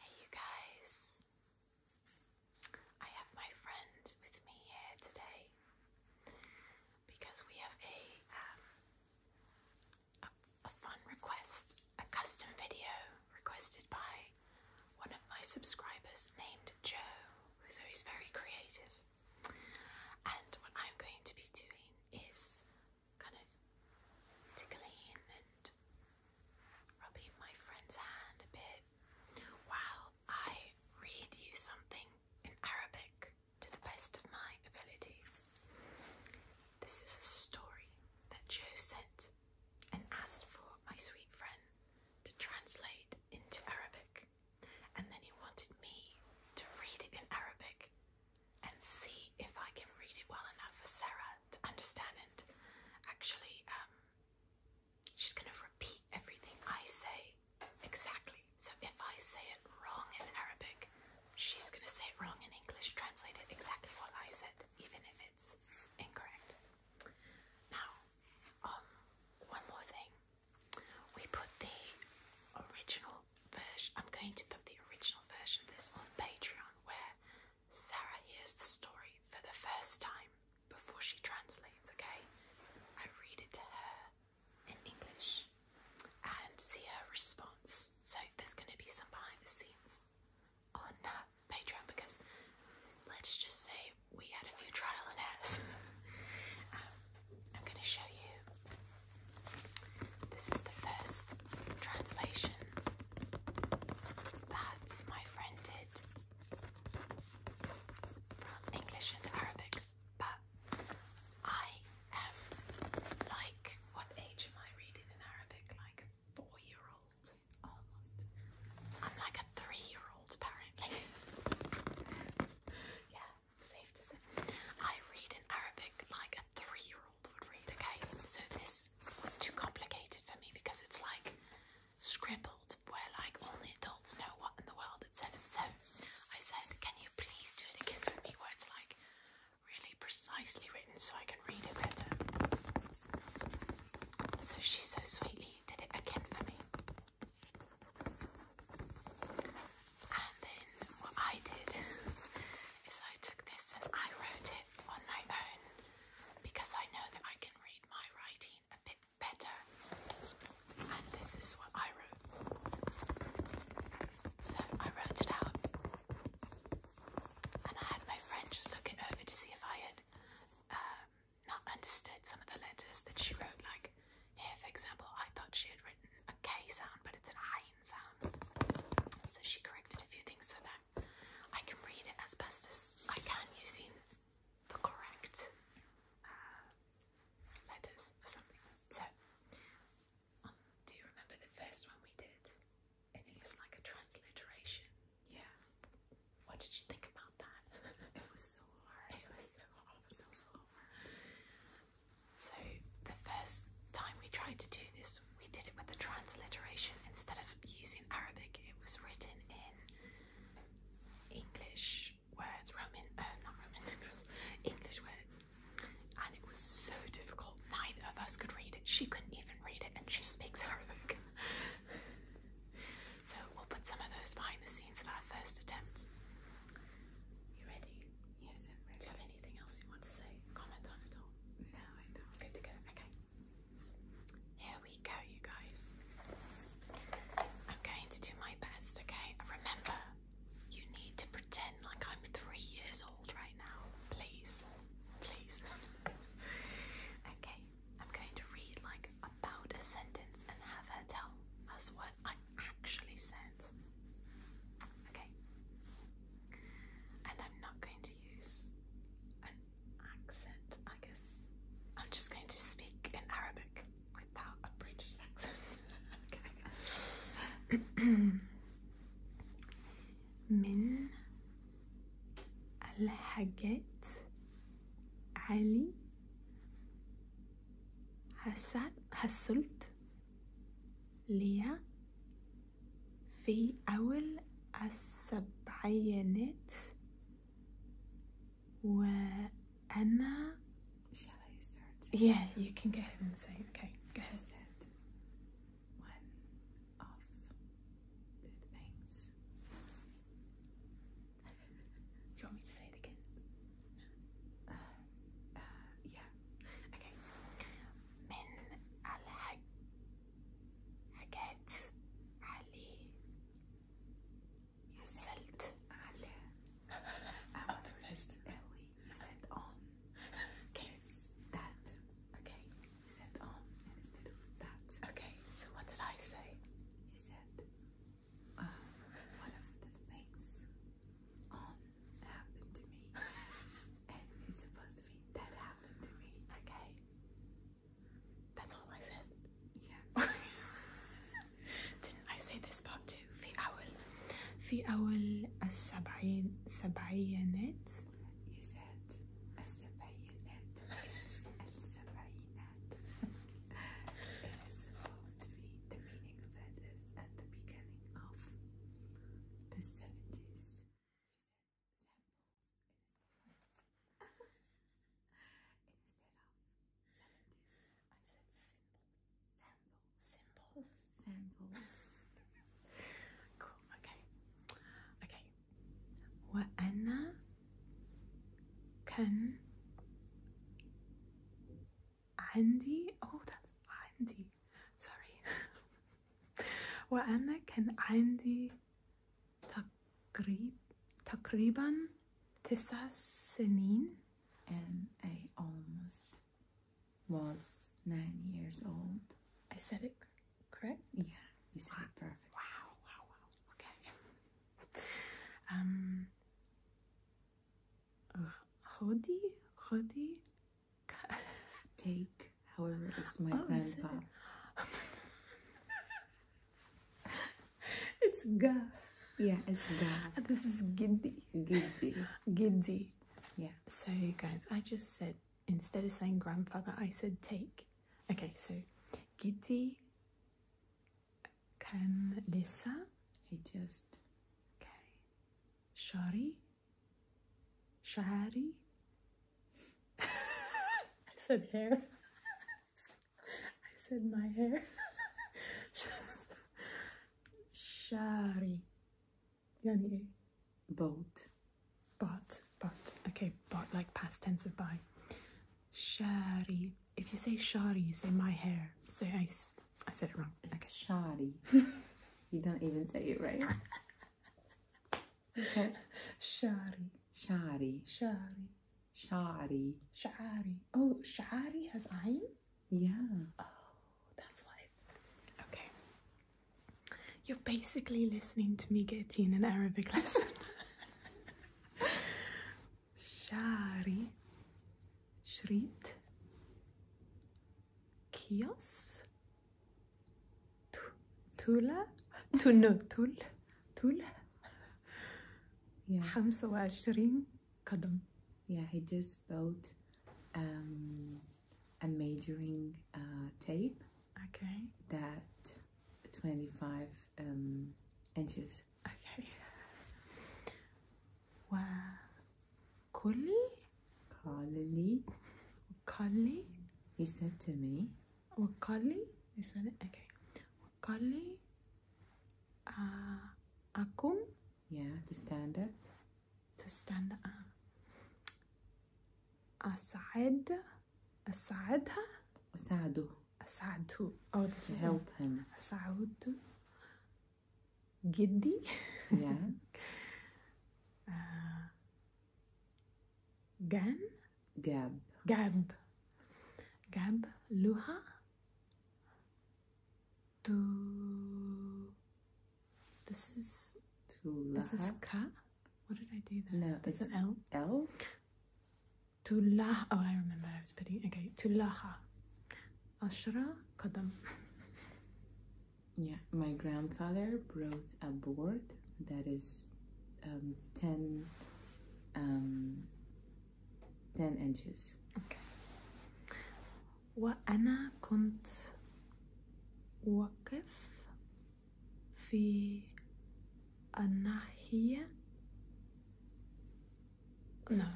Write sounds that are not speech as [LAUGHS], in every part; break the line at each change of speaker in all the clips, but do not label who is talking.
Hey, you guys. I have my friend with me here today because we have um, a, a fun request, a custom video requested by one of my subscribers named Joe, so he's very creative. And what I'm going to be doing is kind of tickling and rubbing my friend's hand a bit while I read you something in Arabic to the best of my ability. This is a story that Joe sent and asked for my sweet friend to translate into Arabic. And then he wanted me to read it in Arabic and see if I can read it well enough for Sarah to understand And Actually, um, she's going to repeat everything I say exactly. So if I say it wrong in Arabic, she's going to say it wrong in English, translate it exactly what I said, even if it's incorrect. Now, um, one more thing. We put the original original I'm going to put the original version of this on Patreon where Sarah hears the story for the first time before she translates, okay? I read it to her in English and see her response. So there's going to be some behind the scenes on uh, Patreon because let's just say we had a few trial and errors. [LAUGHS] Um, I'm going to show you this is the first translation that my friend did from English into Arabic, but I am like, what age am I reading in Arabic? Like a four year old almost. I'm like a three year old apparently. [LAUGHS] yeah, safe to say. I read in Arabic like three-year-old would read, okay? So this was too complicated for me because it's like scribbled where like only adults know what in the world it says. So I said, can you please do it again for me where it's like really precisely written so I can read it better? So she so sweetly did it again for me. And then what I did [LAUGHS] is I took this and I wrote it on my own because I know that I can read my writing a bit better. And this is what I wrote. So I wrote it out and I had my friends look it over to see if I had um, not understood some of the letters that she wrote. Like here, for example, I thought she had written a K sound, but it's an I so she corrected a few things so that I can read it as best as I can using the correct uh, letters or something. So, um, do you remember the first one we did? And it was like a transliteration. Yeah. What did you think about that? it was so hard. It was so hard. So, so hard. So, the first time we tried to do this we did it with the transliteration instead of using Arabic, it was written in English words, Roman, uh, not Roman [LAUGHS] English words, and it was so difficult. Neither of us could read it. She couldn't even read it, and she speaks [LAUGHS] Arabic. so we'll put some of those behind the scenes of our first attempt. You ready? Yes, i anything else you want to say? Comment on it all? No, I don't. Good to go. Okay. Here we go, you guys. I'm going to do my best, okay? Remember, you need to pretend like I'm three years old right now. Please. Please. [LAUGHS] okay. I'm going to read like about a sentence and have her tell us what I actually said. Okay. And I'm not going to use an accent, I guess. I'm just going to speak in Arabic without a British accent. [LAUGHS] okay. من
الحاجات علي حصلت ليا في أول السبعينات وأنا Shall I Yeah, you can go ahead and say okay. Go ahead. Said one
of the things. you want me to say it again? Uh, uh, yeah. Okay. حكيت عليه يسلت على Ellie you said on kiss that okay you said on instead of that okay so what did I say you said uh, one of the things
on happened to me [LAUGHS] it's supposed to be
that happened to me. Okay. That's all I said. Yeah. [LAUGHS] I say this part too? في أول
في أول السبعين You said السبعينات.
It's السبعينات.
it is supposed to be the meaning of it is at the beginning of the seventies samples instead of
instead seventies. I said symbols. Samples. Samples. cool. Okay.
Okay. وأنا كان عندي oh that's عندي sorry [LAUGHS] وأنا كان عندي تقريب تقريبا تسع سنين
and I almost was nine years
old. I said it correct? Yeah, you said wow. it perfect. Wow, wow, wow. Okay. um, غدي غدي [LAUGHS] take. However, it's my oh, grandpa. [LAUGHS] it's ga. Yeah, it's ga. This is giddy. Giddy. Giddy. Yeah. So, guys, I just said instead of saying grandfather, I said take. Okay, so giddy can lisa. He just. Okay. Shari. Shahari? I said hair. I said my hair. Shari. Yani a boat. But, but, okay, but like past tense of by. Shari. If you say shari, you say my hair. Say I,
I said it wrong. It's okay. [LAUGHS] you don't even say it right. [LAUGHS] Shari. Shari. Shari. Shari. Shari. Oh, Shari has ayn? Yeah. Oh, that's why. Okay.
You're basically listening to me get an Arabic lesson. [LAUGHS] Shari. Shrit. Kios. تولى تول تول تول yeah.
25 قدم yeah he just bought um, a measuring uh, tape okay that 25 um, inches okay وكلي قال لي قال he said to me وقال لي لسانة okay وقال لي uh, آه، أقوم yeah to stand up to stand up أساعد
أساعدها أساعده أساعده أو to help him أساعده جدي yeah uh, [LAUGHS] جان gab, gab, جاب لها to this is to is what did I do there? No, it's an L. L. To lah. Oh, I remember. I was putting. Okay, to laha.
Ashra kadam. Yeah my grandfather brought a board that is um, 10, um, 10 inches okay. وأنا كنت واقف
في الناحية
no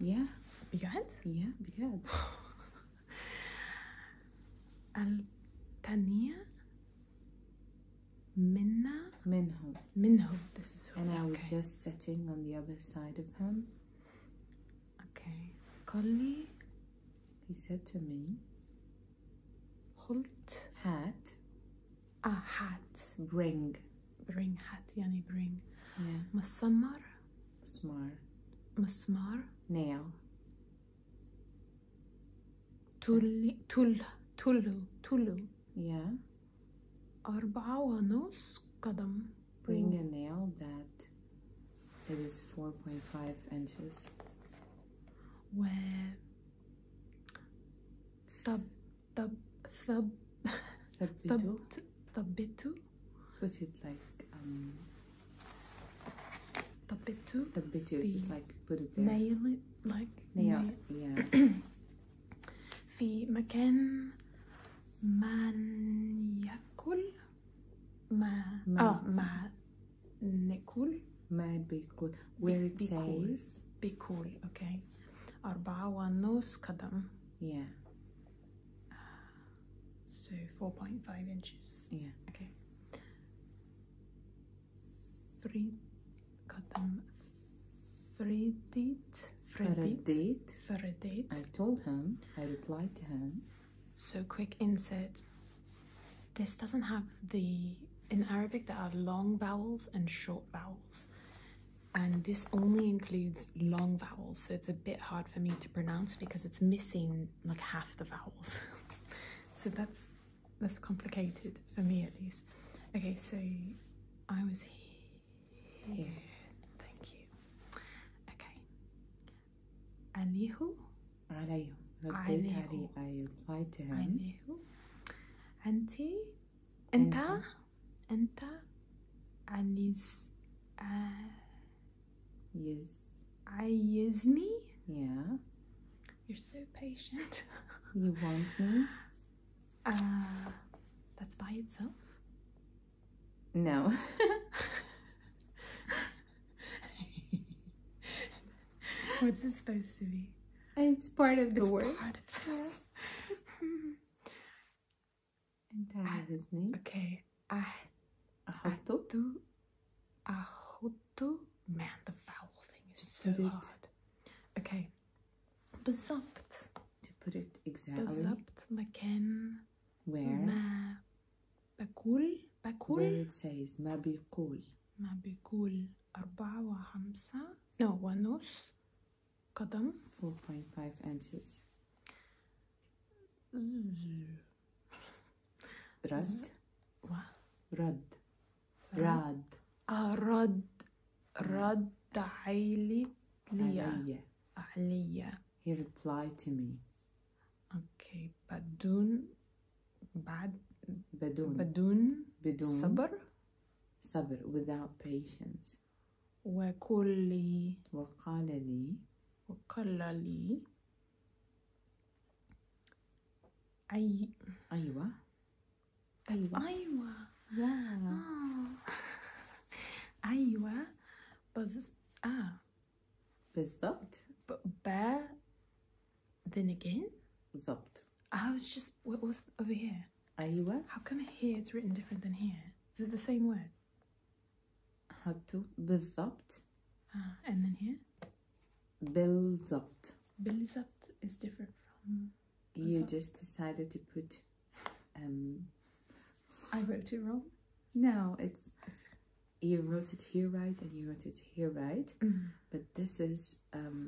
yeah بجد؟ yeah بجد
الثانية [LAUGHS]
Minna? Minho. Minho, this is who. And I was just sitting on the other side of him. Okay. Colli, he said to me, Holt. Hat. Ah, hat.
Bring. Bring hat, yani bring. Yeah. Masamar. Smar. Masmar. Nail. تولي تول تولو تولو yeah أربعة
ونص قدم bring a nail that it is 4.5 inches
و
طب طب ثب ثبتو ثبتو
put it like um the Tapetu, it's just like put it there. Nail it, like yeah, Yeah.
في مكان من يأكل ما آه
ما نأكل ما بيكل where it بيكل. says
بيكل okay أربعة ونص قدم yeah so 4.5 inches yeah okay Frid, got them Fredit,
Fredit,
Fredit. I told him, I replied to him. So quick insert. This doesn't have the, in Arabic there are long vowels and short vowels. And this only includes long vowels, so it's a bit hard for me to pronounce because it's missing like half the vowels. [LAUGHS] so that's less complicated for me at least. Okay, so I was here. here. Thank you.
Okay. Alihu. عليه. عليه. I replied to him. عليه. أنتي. أنت.
أنت. Aliz. Uh, yes. Ayezni. Yeah. You're so patient. you want me? Uh, that's by itself? No. [LAUGHS] What's it supposed to be? It's part of the it's word. [LAUGHS] and that is me. Okay. I. Ahatu. Ahutu. Man, the vowel thing is so it. hard. Okay. Bezapt.
To put it exactly. Bezapt
makan. Where? Ma بقول بقول Where
it says ما بيقول
ما بيقول أربعة وخمسة
no ونص قدم 4.5 inches رد رد راد رد رد علي
علي
علي he replied to me okay بدون بعد بدون بدون بدون صبر صبر without patience وقل لي وقال لي وقال لي I Iowa. That's Iowa.
Iowa. Yeah. Oh. Iowa. Bez ah. [LAUGHS] but ah. Ba. Then again. بالظبط. I was just what was over here? أيوة. How come here it's written different than here? Is it the same word?
هاتو بالضبط.
Ah, and then here?
بالضبط up is different from You just decided to put um, I wrote it wrong. No, it's, you wrote it here right and you wrote it here right. Mm-hmm. But this is um,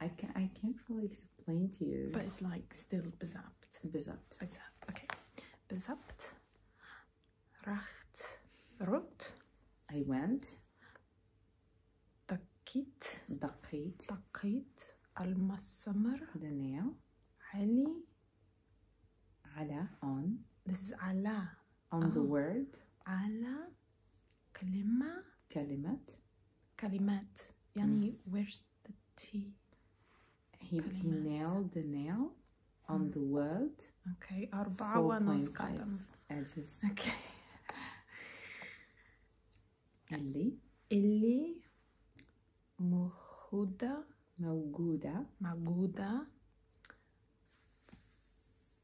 I can I can't really explain to you. But it's like still bezapt. Bezapt. Bezapt. Okay. Bezapt. Racht. Rot. I went. دقيت دقيت دقيت المسمر دنيا علي على on this is على on the word على كلمة كلمة كلمات يعني mm. where's the T he, كلمات. he nailed the nail on mm. the word
okay أربعة ونص قدم
edges okay اللي اللي
موجودة موجودة موجودة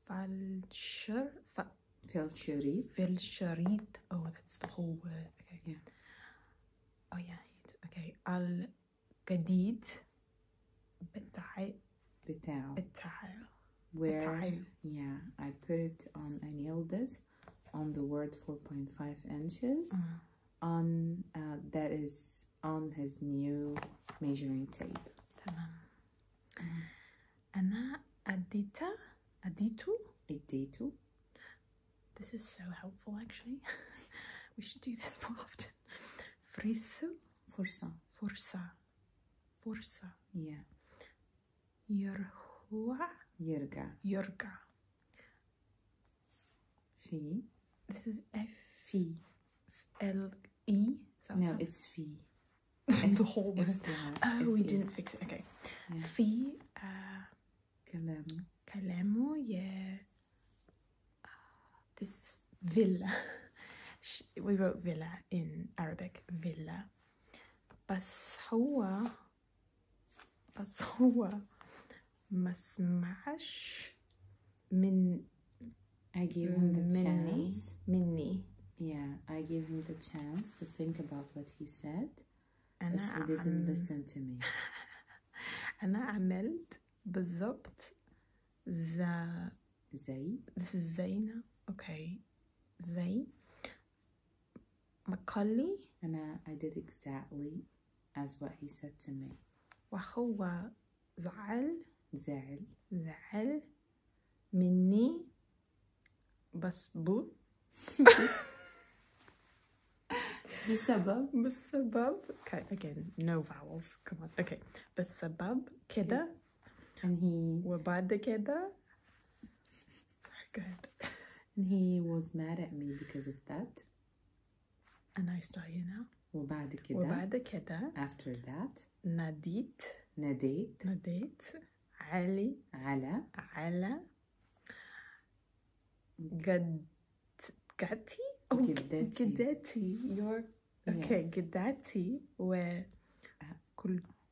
فالشر ف... في الشريط في الشريط oh that's the whole word okay oh,
بتاع بتاع بتاع where yeah I put it on I nailed it on the word 4.5 inches uh-huh. on uh, that is on his new measuring tape
tamam أنا أديت
أديت أديت
This is so helpful actually [LAUGHS] we should do this more often فريسو فرصة فرصة فرصة yeah Yerhua? Yerga. Yerga.
Fi. This is F-I. L-E? No, it? it's Fi. [LAUGHS] the whole word. Oh,
we didn't fix it. Okay. Fi. Kalem. Kalemu, yeah. Uh, uh, this is villa. [LAUGHS] we wrote villa in Arabic, villa. بس هو بس هو ما سمعش
من I gave him the مني, chance. مني. Yeah, I gave him the chance to think about what he said. أنا بس he didn't listen to me.
أنا عملت بالضبط ز
زي this is زينة okay زي مقال أنا I did exactly as what he said to me وهو زعل زعل زعل
مني بسبب بسبب بسبب okay again no vowels come on okay بسبب كده and he وبعد كده
very good. and he was mad at me because of that.
أنا إسرائيلية.
وبعد كده وبعد كده after that ناديت ناديت ناديت علي على على قد قدتي أو قداتي
قداتي your okay قداتي وكل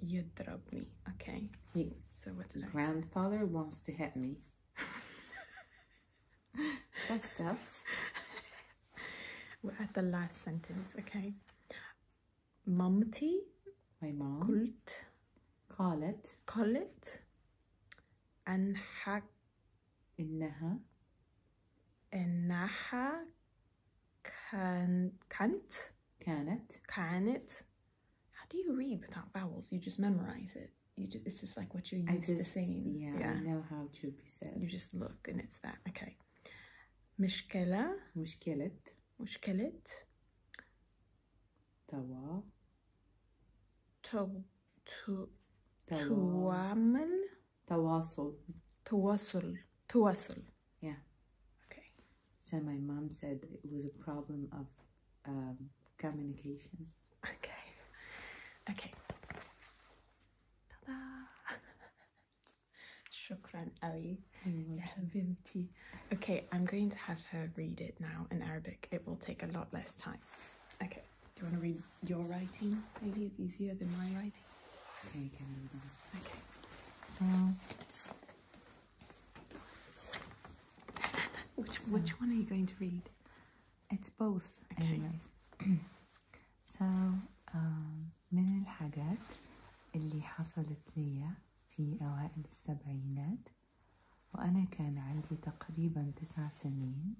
You drop me, Okay. He, so what is that? grandfather wants to hit me.
[LAUGHS] That's tough. We're at the last sentence,
okay? Momty. My mom. it. it. And قالت. قالت. أنحك.
Can't. Can't. Can't. How do you read without vowels? You just memorize it. You just it's just like what you're used just, to seeing. Yeah, yeah, I know how to be said. You just look and it's that. Okay. مشكلة مشكلة مشكلة توا تو تو
توامل تواصل تواصل تواصل yeah okay so my mom said it was a problem of um, communication. Okay. Okay.
Ta-da! [LAUGHS] Shukran Ali. Bimti. Okay, I'm going to have her read it now in Arabic. It will take a lot less time. Okay. Do you want to read your writing? Maybe it's easier than my writing.
Okay,
okay. So which, so, which one are you going to read? It's both. Okay. [CLEARS THROAT] so um, من الحاجات اللي حصلت لي في أوائل السبعينات وأنا كان عندي تقريبا تسع سنين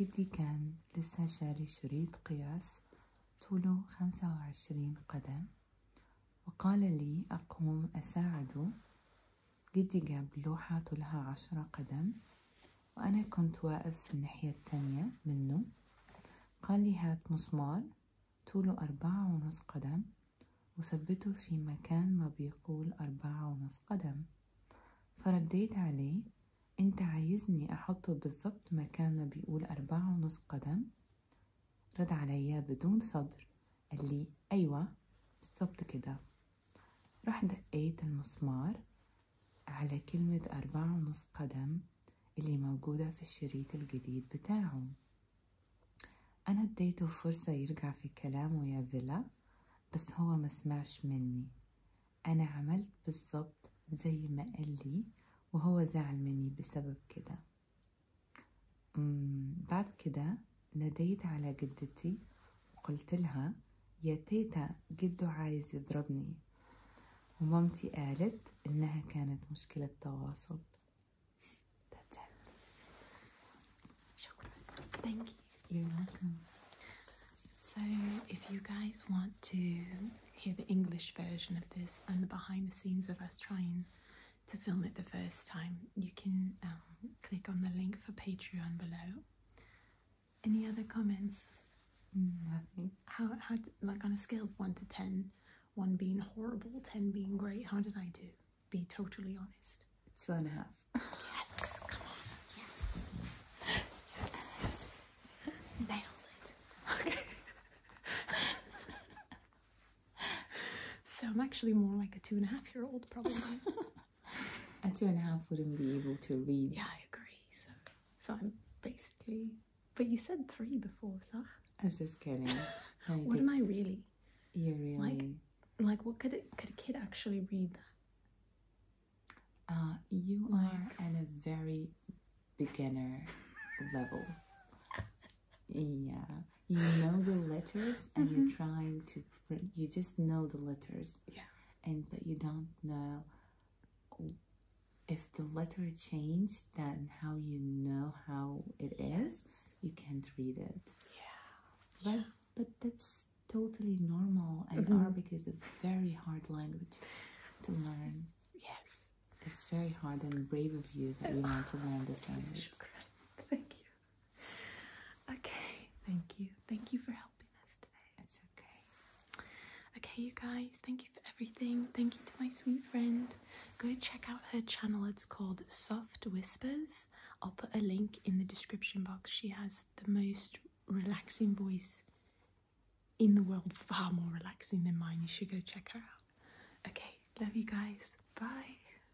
جدي كان لسه شاري شريط قياس طوله خمسة وعشرين قدم وقال لي أقوم أساعده جدي جاب لوحة طولها عشرة قدم وأنا كنت واقف في الناحية التانية منه قال لي هات مسمار طوله أربعة ونص قدم وثبته في مكان ما بيقول أربعة ونص قدم فرديت عليه أنت عايزني أحطه بالظبط مكان ما بيقول أربعة ونص قدم رد عليا بدون صبر قال لي أيوة بالظبط كده راح دقيت المسمار على كلمة أربعة ونص قدم اللي موجودة في الشريط الجديد بتاعه أنا اديته فرصة يرجع في كلامه يا فيلا بس هو ما سمعش مني أنا عملت بالظبط زي ما قال لي وهو زعل مني بسبب كده بعد كده ناديت على جدتي وقلت لها يا تيتا جدو عايز يضربني ومامتي قالت إنها كانت مشكلة تواصل شكرا thank you you're welcome
so if you guys want to hear the English version of this and the behind the scenes of us trying to film it the first time, you can um, click on the link for Patreon below. Any other comments?
Nothing.
Mm, how, how, like on a scale of 1 to 10, 1 being horrible, 10 being great, how did I do? Be totally honest.
Two and a half. yes, come on, yes, yes.
Nailed it. Okay. [LAUGHS] [LAUGHS] so I'm actually more like a two and a half year old, probably. [LAUGHS]
a two and a half wouldn't be able to read. Yeah,
I agree. So, so I'm basically. But you said three before, Sah.
I was just kidding. [LAUGHS] what am I really? You're really. Like,
like what could it, could a kid actually read
that? Uh, you are at a very beginner level. Yeah, you know the letters, and you're mm-hmm. trying to. You just know the letters. Yeah. And but you don't know if the letter changed, then how you know how it is? you can't read it. Yeah. But but that's totally normal, and Arabic is a very hard language to learn. Yes. It's very hard and brave of you that [LAUGHS] you want to learn this language. Thank you. [LAUGHS] okay, thank you. Thank you for helping us today. It's
okay. Okay, you guys, thank you for everything. Thank you to my sweet friend. Go check out her channel. It's called Soft Whispers. I'll put a link in the description box. She has the most relaxing voice in the world, far more relaxing than mine. You should go check her out. Okay, love you guys. Bye.